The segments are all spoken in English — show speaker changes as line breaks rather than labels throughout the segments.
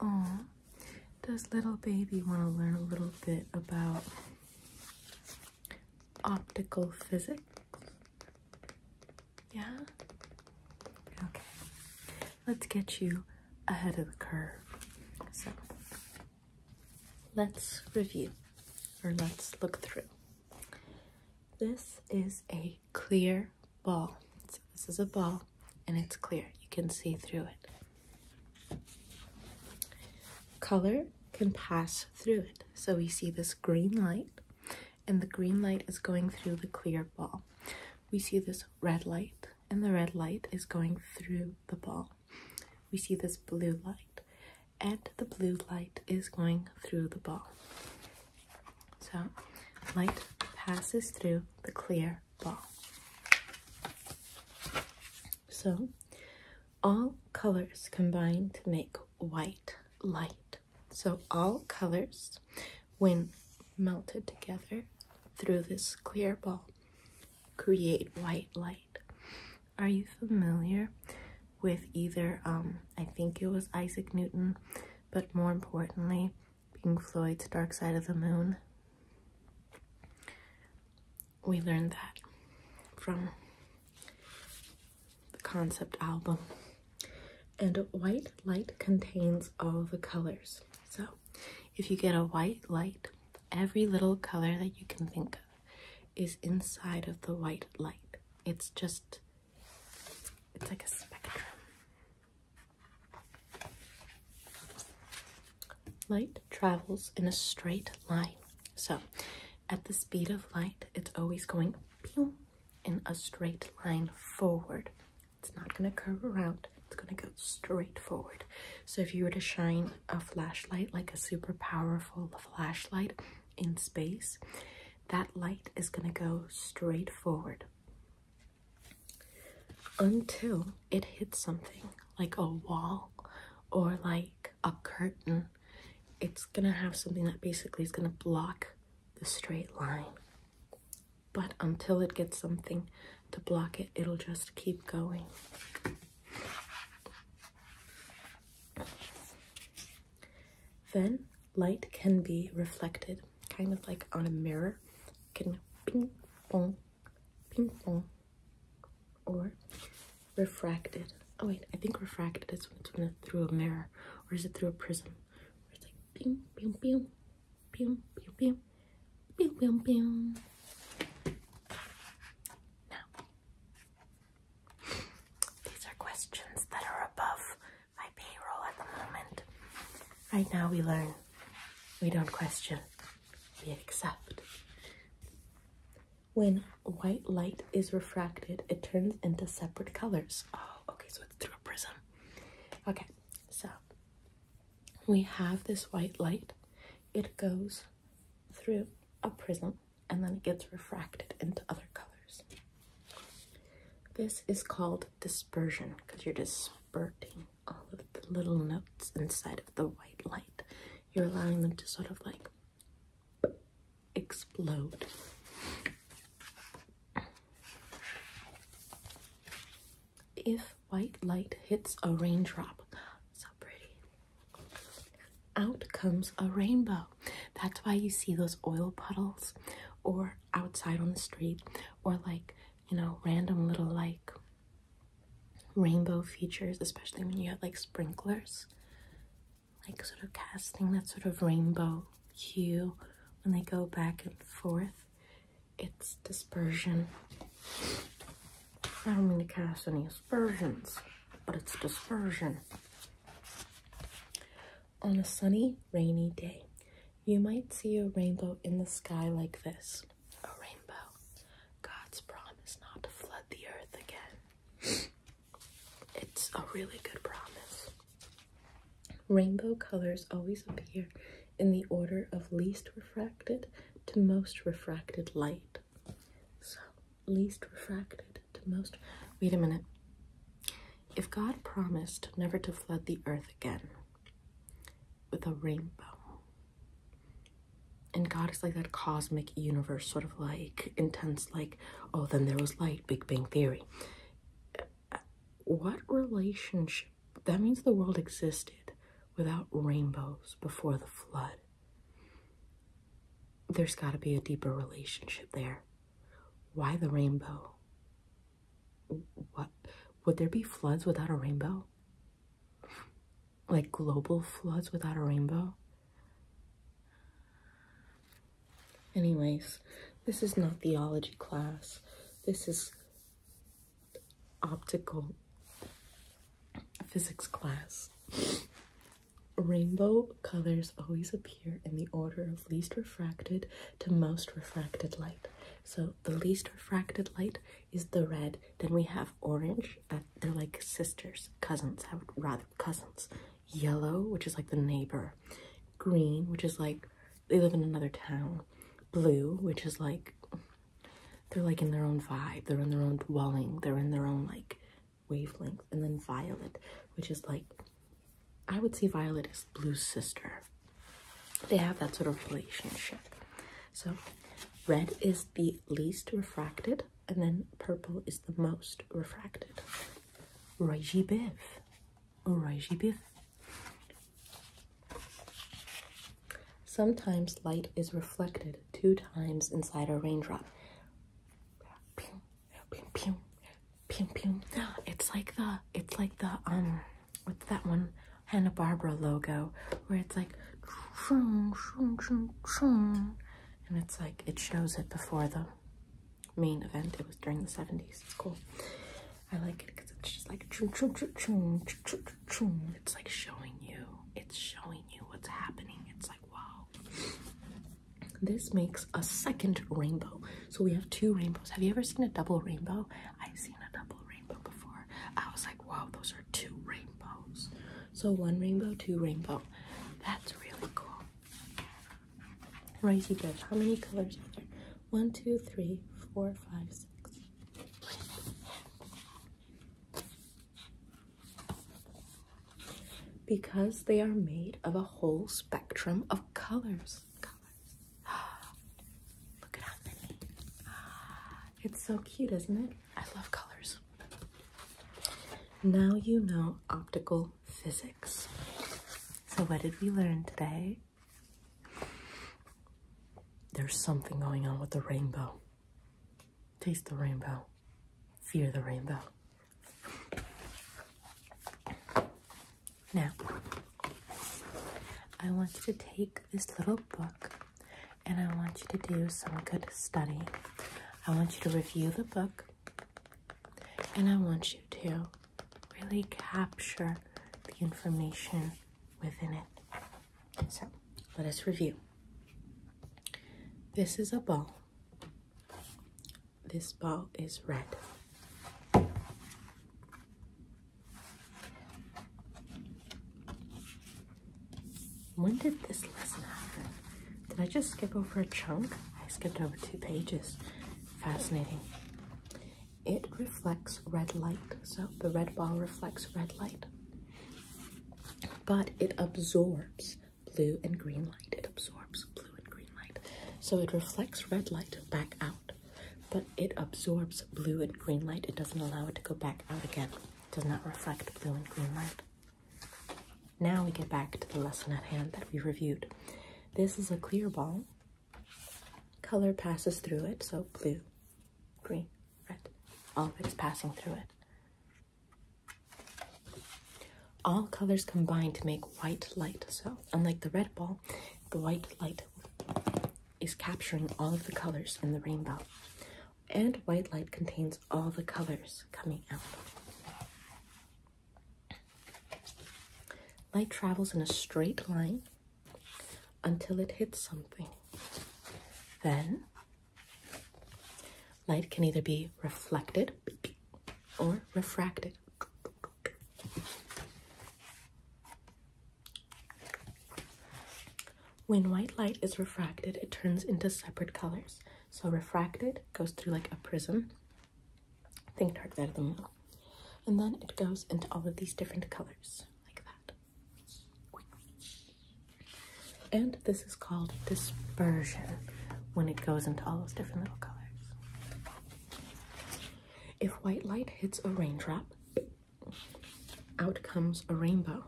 Oh, does little baby want to learn a little bit about optical physics? Yeah? Okay. Let's get you ahead of the curve. So, let's review or let's look through. This is a clear ball. So this is a ball and it's clear. You can see through it. Color can pass through it. So we see this green light and the green light is going through the clear ball. We see this red light and the red light is going through the ball. We see this blue light and the blue light is going through the ball. So, light passes through the clear ball. So, all colors combine to make white light. So, all colors, when melted together through this clear ball, create white light. Are you familiar with either? Um, I think it was Isaac Newton, but more importantly, Pink Floyd's Dark Side of the Moon. We learned that from the concept album. And white light contains all the colors. So if you get a white light, every little color that you can think of is inside of the white light. It's just, it's like a spectrum. Light travels in a straight line. So, at the speed of light, it's always going in a straight line forward. It's not going to curve around, it's going to go straight forward. So, if you were to shine a flashlight, like a super powerful flashlight, in space, that light is going to go straight forward until it hits something like a wall or like a curtain. It's going to have something that basically is going to block the straight line. But until it gets something to block it, it'll just keep going. Then light can be reflected, kind of like on a mirror. It can ping pong, ping pong, or refracted. Oh wait, I think refracted is when it's when through a mirror, or is it through a prism? it's like ping, ping, ping, ping, ping, ping, ping, ping. Now, these are questions that are above my payroll at the moment. Right now, we learn. We don't question, we accept. When white light is refracted, it turns into separate colors. Oh, okay, so it's through a prism. Okay, so we have this white light, it goes through a prism and then it gets refracted into other colors. This is called dispersion because you're dispersing all of the little notes inside of the white light. You're allowing them to sort of like explode. If white light hits a raindrop, so pretty out comes a rainbow. That's why you see those oil puddles or outside on the street or like, you know, random little like rainbow features, especially when you have like sprinklers, like sort of casting that sort of rainbow hue when they go back and forth. It's dispersion. I don't mean to cast any aspersions, but it's dispersion. On a sunny, rainy day, you might see a rainbow in the sky like this. A rainbow. God's promise not to flood the earth again. It's a really good promise. Rainbow colors always appear in the order of least refracted to most refracted light. So, least refracted to most. Wait a minute. If God promised never to flood the earth again with a rainbow, and God is like that cosmic universe, sort of like intense, like, oh, then there was light, Big Bang Theory. What relationship? That means the world existed without rainbows before the flood. There's got to be a deeper relationship there. Why the rainbow? What would there be floods without a rainbow? Like global floods without a rainbow? Anyways, this is not theology class. This is optical physics class. Rainbow colors always appear in the order of least refracted to most refracted light. So the least refracted light is the red. Then we have orange. Uh, they're like sisters, cousins. I would rather cousins. Yellow, which is like the neighbor. Green, which is like they live in another town. Blue, which is like they're like in their own vibe, they're in their own dwelling, they're in their own like wavelength. And then violet, which is like I would say violet is blue's sister. They have that sort of relationship. So red is the least refracted, and then purple is the most refracted. Rajibiv. Rajibiv. Sometimes light is reflected two times inside a raindrop. Pew, pew, pew, pew, pew. It's like the it's like the um what's that one Hanna Barbara logo where it's like and it's like it shows it before the main event. It was during the 70s. It's cool. I like it because it's just like chum, chum, chum, chum, chum, chum. It's like showing you. It's showing you what's happening. It's like wow. This makes a second rainbow. So we have two rainbows. Have you ever seen a double rainbow? I've seen a double rainbow before. I was like, wow, those are two rainbows. So one rainbow, two rainbow. That's really cool. Ricey Judge, how many colors are there? One, two, three, four, five, six, because they are made of a whole spectrum of colors. Look at how many. It's so cute, isn't it? I love colors. Now you know optical physics. So, what did we learn today? There's something going on with the rainbow. Taste the rainbow. Fear the rainbow. Now, I want you to take this little book and I want you to do some good study. I want you to review the book and I want you to really capture the information within it. So let us review. This is a ball. This ball is red. When did this lesson happen? Did I just skip over a chunk? I skipped over two pages. Fascinating it reflects red light. So the red ball reflects red light, but it absorbs blue and green light. It absorbs blue and green light. So it reflects red light back out, but it absorbs blue and green light. It doesn't allow it to go back out again. does not reflect blue and green light. Now we get back to the lesson at hand that we reviewed. This is a clear ball Color passes through it, so blue, green, red, all of it's passing through it. All colors combine to make white light, so unlike the red ball, the white light is capturing all of the colors in the rainbow. And white light contains all the colors coming out. Light travels in a straight line until it hits something. Then, light can either be reflected or refracted. When white light is refracted, it turns into separate colors. So refracted goes through like a prism Think dark that of the moon. And then it goes into all of these different colors, like that. And this is called dispersion when it goes into all those different little colors. If white light hits a raindrop, out comes a rainbow.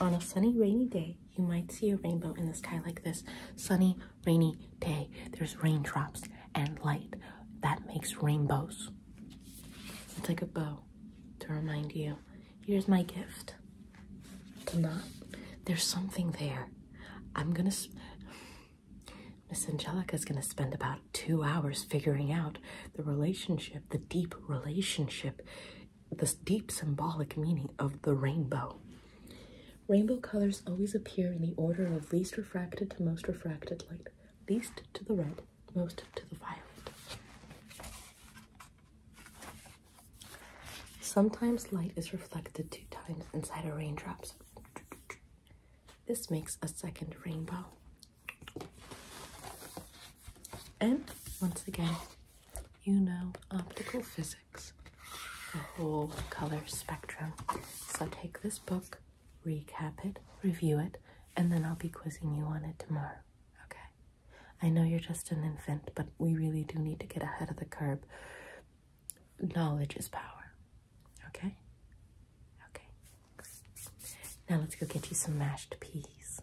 On a sunny, rainy day, you might see a rainbow in the sky like this. Sunny, rainy day. There's raindrops and light. That makes rainbows. It's like a bow to remind you here's my gift. To not, there's something there. I'm gonna. Miss Angelica's gonna spend about two hours figuring out the relationship, the deep relationship the deep symbolic meaning of the rainbow. Rainbow colors always appear in the order of least refracted to most refracted, light, least to the red, most to the violet. Sometimes light is reflected two times inside a raindrop. This makes a second rainbow. And once again, you know optical physics, the whole color spectrum. So take this book, recap it, review it, and then I'll be quizzing you on it tomorrow. Okay? I know you're just an infant, but we really do need to get ahead of the curve. Knowledge is power. Okay? Okay. Now let's go get you some mashed peas.